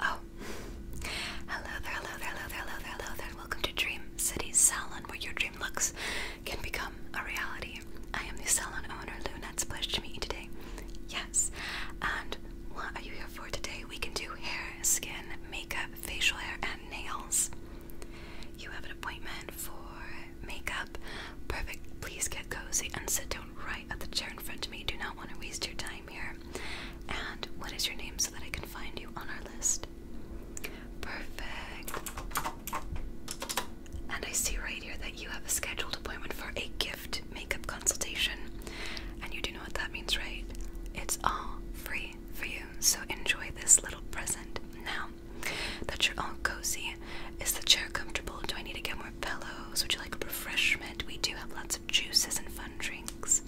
Oh, hello there, hello there, hello there, hello there, hello there. Welcome to Dream City Salon, where your dream looks can become a reality. I am the salon owner, Luna. It's a pleasure to meet you today. Yes, and what are you here for today? We can do hair, skin, makeup, facial hair, and nails. You have an appointment for makeup. Perfect. Please get cozy and sit down right at the chair in front of me. Do not want to waste your time here. And what is your name so that I can find you on our list? Perfect. And I see right here that you have a scheduled appointment for a gift makeup consultation. And you do know what that means, right? It's all free for you. So enjoy this little present. Now, that you're all cozy. Is the chair comfortable? Do I need to get more pillows? Would you like a refreshment? We do have lots of juices and fun drinks.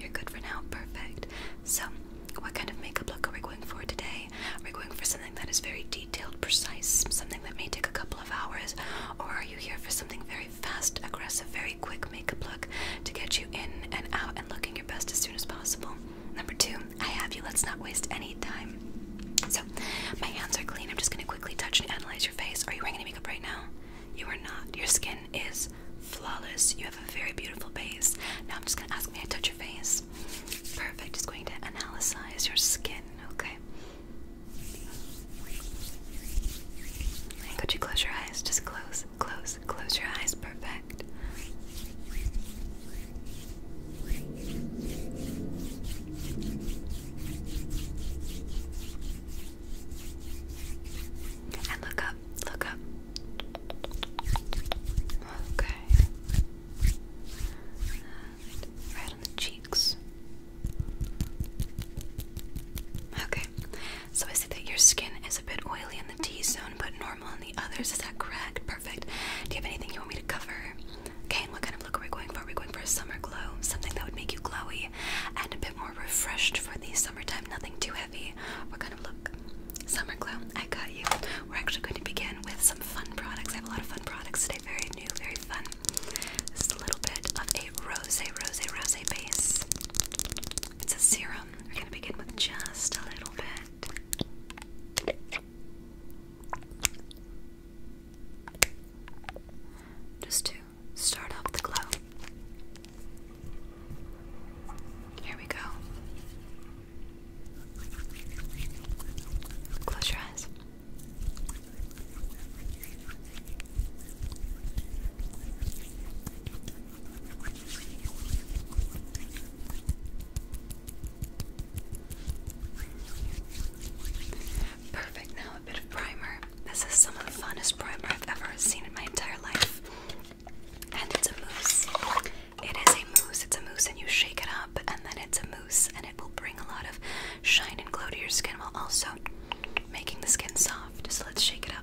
You're good for now. Perfect. So, what kind of makeup look are we going for today? We're going for something that is very detailed, precise, something that may take a couple of hours, or are you here for something very fast, aggressive, very quick makeup look to get you in and out and looking your best as soon as possible? Number two, I have you. Let's not waste any time. So, my hands are clean. I'm just going to quickly touch and analyze your face. Are you wearing any makeup right now? You are not. Your skin is flawless. You have a very beautiful base. Now, I'm just going to ask me to touch your face. Perfect. Just going to analyze your skin, okay? could you close your eyes? Just close, close, close your eyes. Perfect. And look up, look up. Okay. Uh, right on the cheeks. Okay. So I see that your skin is a bit oily in the T zone, but normal in the others. Is that correct? perfect. Do you have anything you want me to cover? Okay, what kind of look are we going for? Are we going for a summer glow? Something that would make you glowy and a bit more refreshed for the summertime, nothing too heavy. What kind of look? Summer glow, I got you. We're actually going to begin with some fun products. I have a lot of fun products today, very new, very fun. This is a little bit of a rose, rose, rose base. It's a serum. We're going to begin with just a little bit. Just to start off the glow. Here we go. Close your eyes. Perfect, now a bit of primer. This is some of the funnest primer I've ever seen in my entire life. And it's a mousse. It is a mousse, it's a mousse, and you shake it up, and then it's a mousse, and it will bring a lot of shine and glow to your skin while also making the skin soft. So let's shake it up.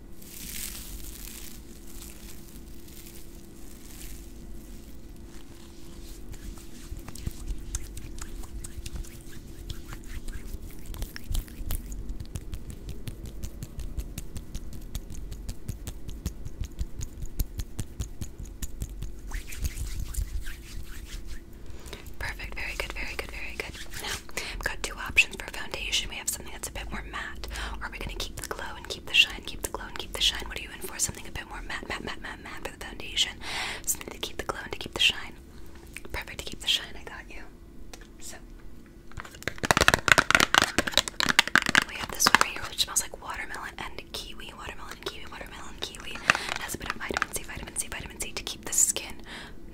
Perfect, very good, very good, very good. Now, I've got two options for foundation. We have something that's a bit more more matte? Or are we going to keep the glow and keep the shine, keep the glow and keep the shine? What are you in for? Something a bit more matte, matte, matte, matte, matte for the foundation. Something to keep the glow and to keep the shine. Perfect to keep the shine, I got you. So, we have this one right here which smells like watermelon and kiwi, watermelon, kiwi, watermelon, kiwi. It has a bit of vitamin C, vitamin C, vitamin C to keep the skin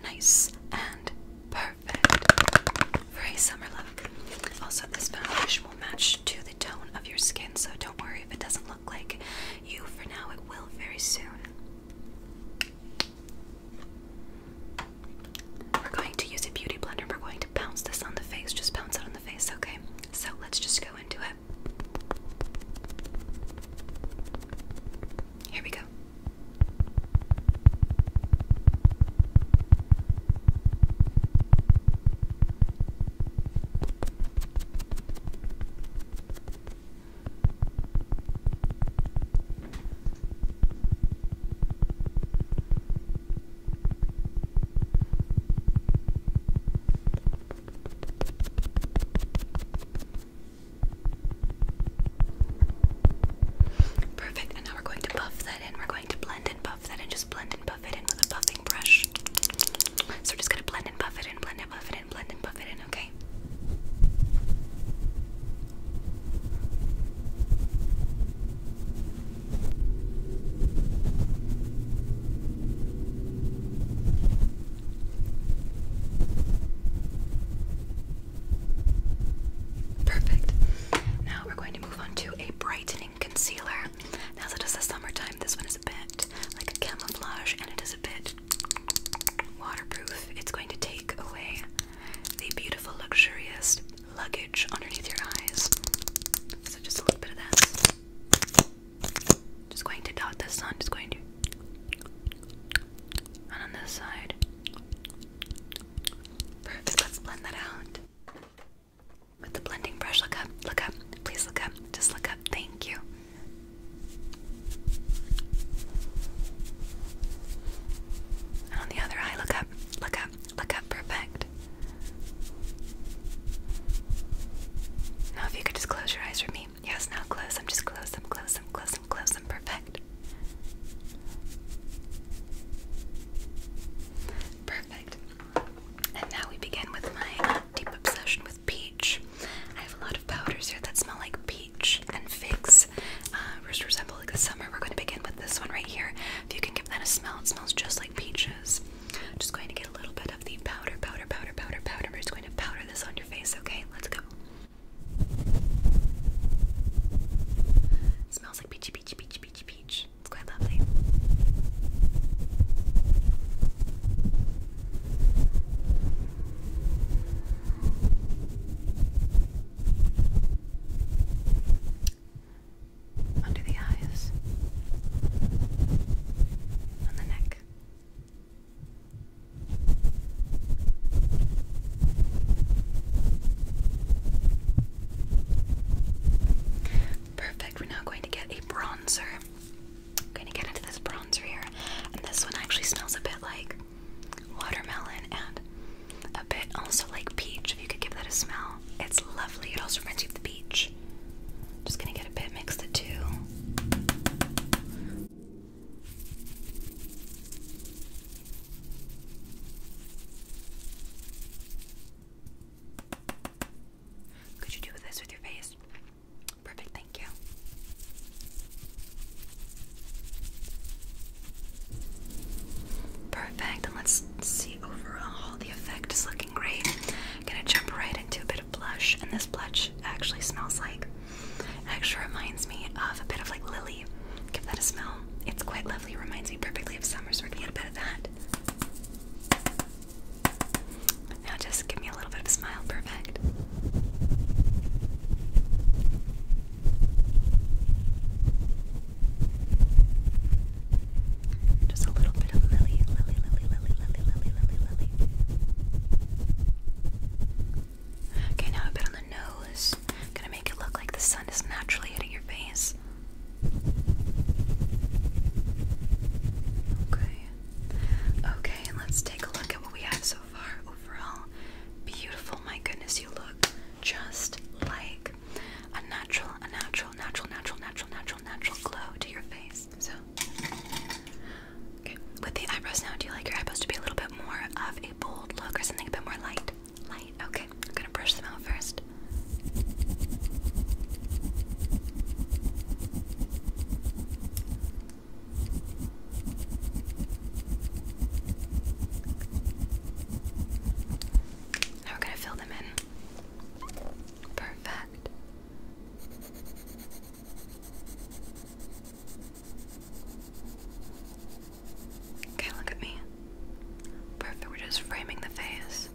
nice and perfect. Perfect. Very summer look. Also, this foundation will match to the tone of your skin, so don't worry if it doesn't look like you for now. It will very soon. We're going to use a beauty blender. We're going to bounce this on the face. Just bounce it on the face, okay? So let's just go into it. Here we go. Perfect, and now we're going to buff that in. We're going to blend and buff that and just blend and buff it in with a buffing brush. So we're just gonna blend and buff it in, blend and buff it in, blend and buff it in, okay? Perfect. Now we're going move on to a brightening concealer. Now that it's the summertime, this one is a bit like camouflage and it is a bit waterproof. It's going to take away the beautiful, luxurious luggage underneath your eyes. So just a little bit of that. Just going to dot this on, just going to. And on this side. Perfect. Let's blend that out. With the blending brush, look up, look up, please look up, just look up, thank you. And on the other eye, look up, look up, look up, perfect. Now, if you could just close your eyes for me. Yes, now close them, just close them, close them, close them, close them, perfect. Perfect. And now we begin with my deep obsession with peach. I have a lot of powders here that smell like peach and figs, uh, which resemble like the summer. We're going to begin with this one right here. If you can give that a smell, it smells just like peaches. just going to get a little bit of the powder, powder, powder, powder, powder. We're just going to powder this on your face, okay? Let's go. smells like peachy Beach, beach, beach, beach. It's quite lovely. Under the eyes, on the neck, Perfect. We're now going to get a bronzer. going to get into this bronzer here. And this one actually smells a bit like watermelon and a bit also like peach. If you could give that a smell, it's lovely. It also reminds you of the beach. Just going to get a bit mixed the two. Could you do this with your face? Perfect, thank you. Perfect, let's see overall. The effect is looking great. I'm gonna jump right into a bit of blush, and this blush actually smells like. actually reminds me of a bit of like lily Give that a smell. It's quite lovely. Reminds me perfectly of summer, so we're going a bit of that. Now just give me a little bit of smile. Perfect. Just a little bit of lily, lily, lily, lily, lily, lily, lily, lily. Okay, now a bit on the nose. Gonna make it look like the sun is naturally hitting your face. Okay. Okay, let's take a look at what we have so far overall. Beautiful, my goodness, you look just like a natural, a natural, natural, natural, natural, natural, glow to your face. So With the eyebrows now, do you like your eyebrows to be a little bit more of a bold look or something a bit more light? Light. Okay, I'm gonna brush them out first. Now we're gonna fill them in. Perfect. Okay, look at me. Perfect, we're just framing the face.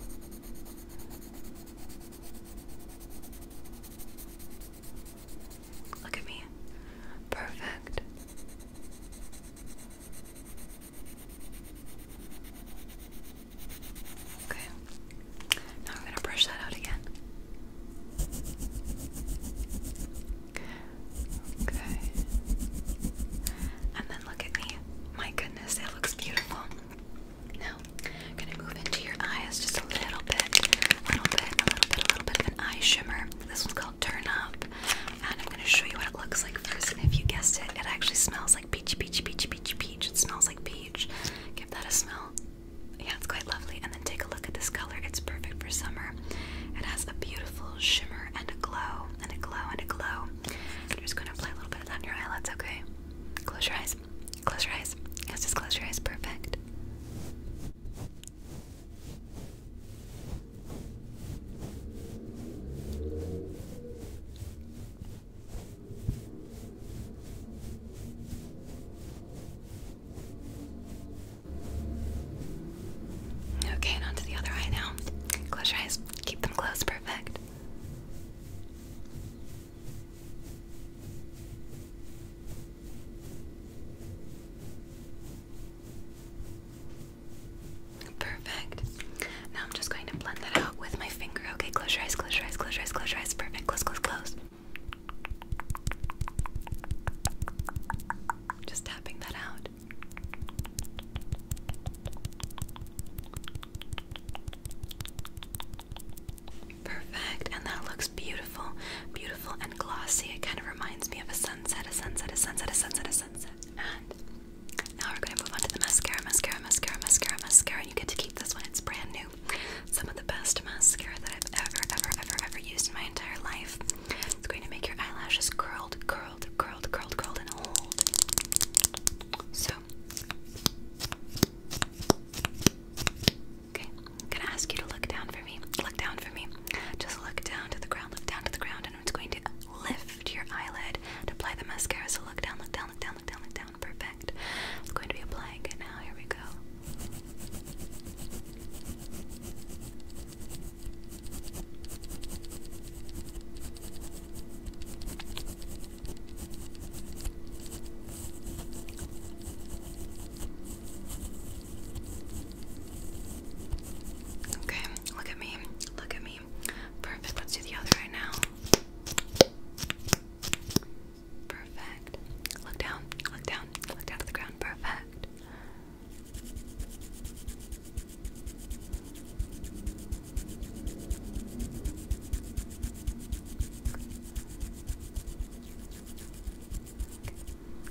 Look at me. Perfect. Okay. Now we're going to brush that out again. Okay. And then look at me. My goodness, it looks beautiful. Now, gonna move into your eyes just a little bit, a little bit, a little bit, a little bit of an eye shimmer. This one's called Turn Up, and I'm gonna show you what it looks like And if you guessed it, it actually smells like peachy, peachy, peachy, peachy, peach. It smells like peach. Give that a smell. Yeah, it's quite lovely. And then take a look at this color. It's perfect for summer. It has a beautiful shimmer and a glow and a glow and a glow. I'm just gonna apply a little bit of on your eyelids, okay? Close your eyes. Close your eyes. Yes, just close your eyes. Perfect. Okay, and onto the other eye now. Close your eyes, keep them closed, perfect. Perfect. Now I'm just going to blend that out with my finger. Okay, close your eyes, close your eyes, close your eyes, close your eyes. Perfect. Close, close, close. Just tapping that out. Perfect, and that looks beautiful, beautiful and glossy. It kind of reminds me of a sunset, a sunset, a sunset, a sunset, a sunset. And now we're going to move on to the mascara, mascara, mascara, mascara, mascara. And you get to keep this one, it's brand new. Some of the best mascara that I've ever, ever, ever, ever used in my entire life. It's going to make your eyelashes curled, curled, curled, curled, curled, and old. So, okay, I'm gonna ask you to look down for me. Look down for me. Just look down to the ground, look down to the ground, and it's going to lift your eyelid to apply the mascara. So, look down, look down, look down, look down, look down. Perfect. It's going to be applying now. Here we go. Okay, look at me. Look at me. Perfect. Let's do the other right now. Perfect. Look down. Look down. Look down to the ground. Perfect.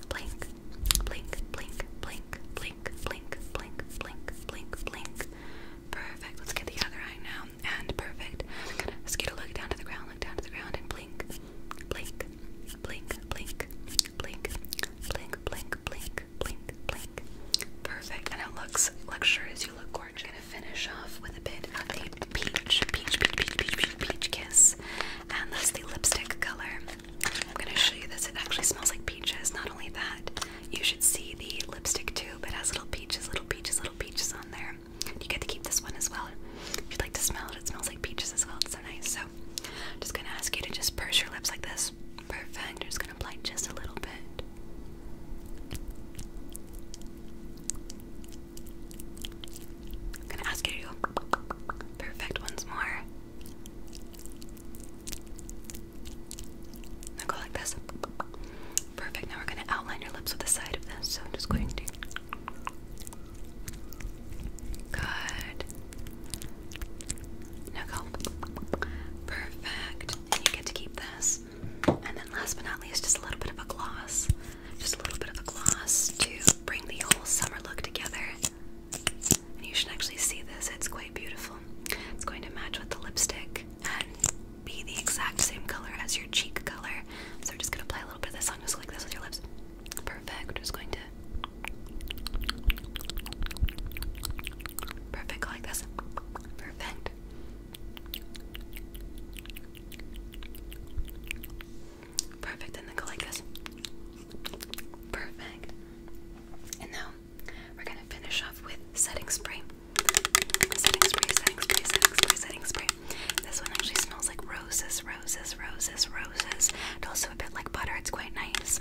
Blink, blink, blink, blink, blink, blink, blink, blink, blink, blink. Perfect. Let's get the other eye now. And perfect. I'm gonna just get a look down to the ground, look down to the ground, and blink, blink, blink, blink, blink, blink, blink, blink, blink, blink, blink. Perfect. And it looks luxurious. You look gorgeous. I'm gonna finish off with a bit of the peach, peach, peach, peach, peach, peach, kiss, and that's the lipstick color. I'm gonna show you this. It actually smells like peaches. Not only that, you should see the lipstick too. It has little peaches, little peaches, little peaches on there. You get to keep this one as well. If you'd like to smell it, it smells like peaches as well. It's so nice. I'm just gonna ask you to just purse your lips like this. Perfect. I'm just gonna apply just a little bit. gonna ask you to perfect once more. Now go like this. Perfect. Now we're gonna outline your lips with the side of this. So I'm just going to Good. No go. Perfect. And you get to keep this. And then last but not least, just a little bit of a gloss. Just a little bit of a gloss to bring the whole summer look together. And you should actually see this. It's quite beautiful. It's going to match with the lipstick and be the exact same color as your cheek color. So I'm just gonna apply a little bit of this on just like this with your lips. Perfect. Just going to. Perfect, like this. Perfect. Perfect, and then go like this. Perfect. And now we're gonna finish off with setting spray. Setting spray, setting spray, setting spray, setting spray. This one actually smells like roses, roses, roses, roses. And also a bit like butter, it's quite nice.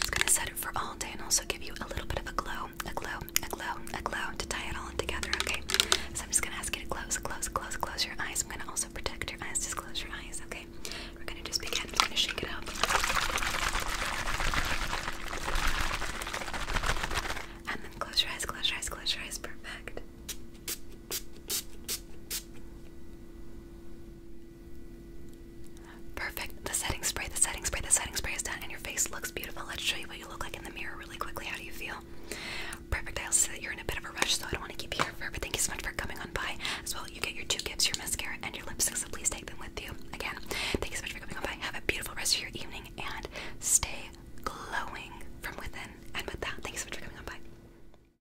It's gonna set it for all day and also give you a little bit of a glow, a glow, a glow, a glow to tie it all in together, okay? So I'm just gonna ask you to close, close, close, close your eyes. I'm gonna also protect your eyes, just close your eyes, okay? We're gonna just begin. I'm gonna shake it up. And then close your eyes, close your eyes, close your eyes. Perfect. Perfect. The setting spray, the setting spray, the setting spray is done and your face looks beautiful. Let's show you what you look like in the mirror really quickly. How do you feel? Perfect. I also see that you're in a bit of a rush, so I don't want to keep you here forever. Thank you so much for coming on by. As well, you get your two gifts, your mascara and your lipstick, so please take them with you. Again, thank you so much for coming on by. Have a beautiful rest of your evening and stay glowing from within. And with that, thank so much for coming on by.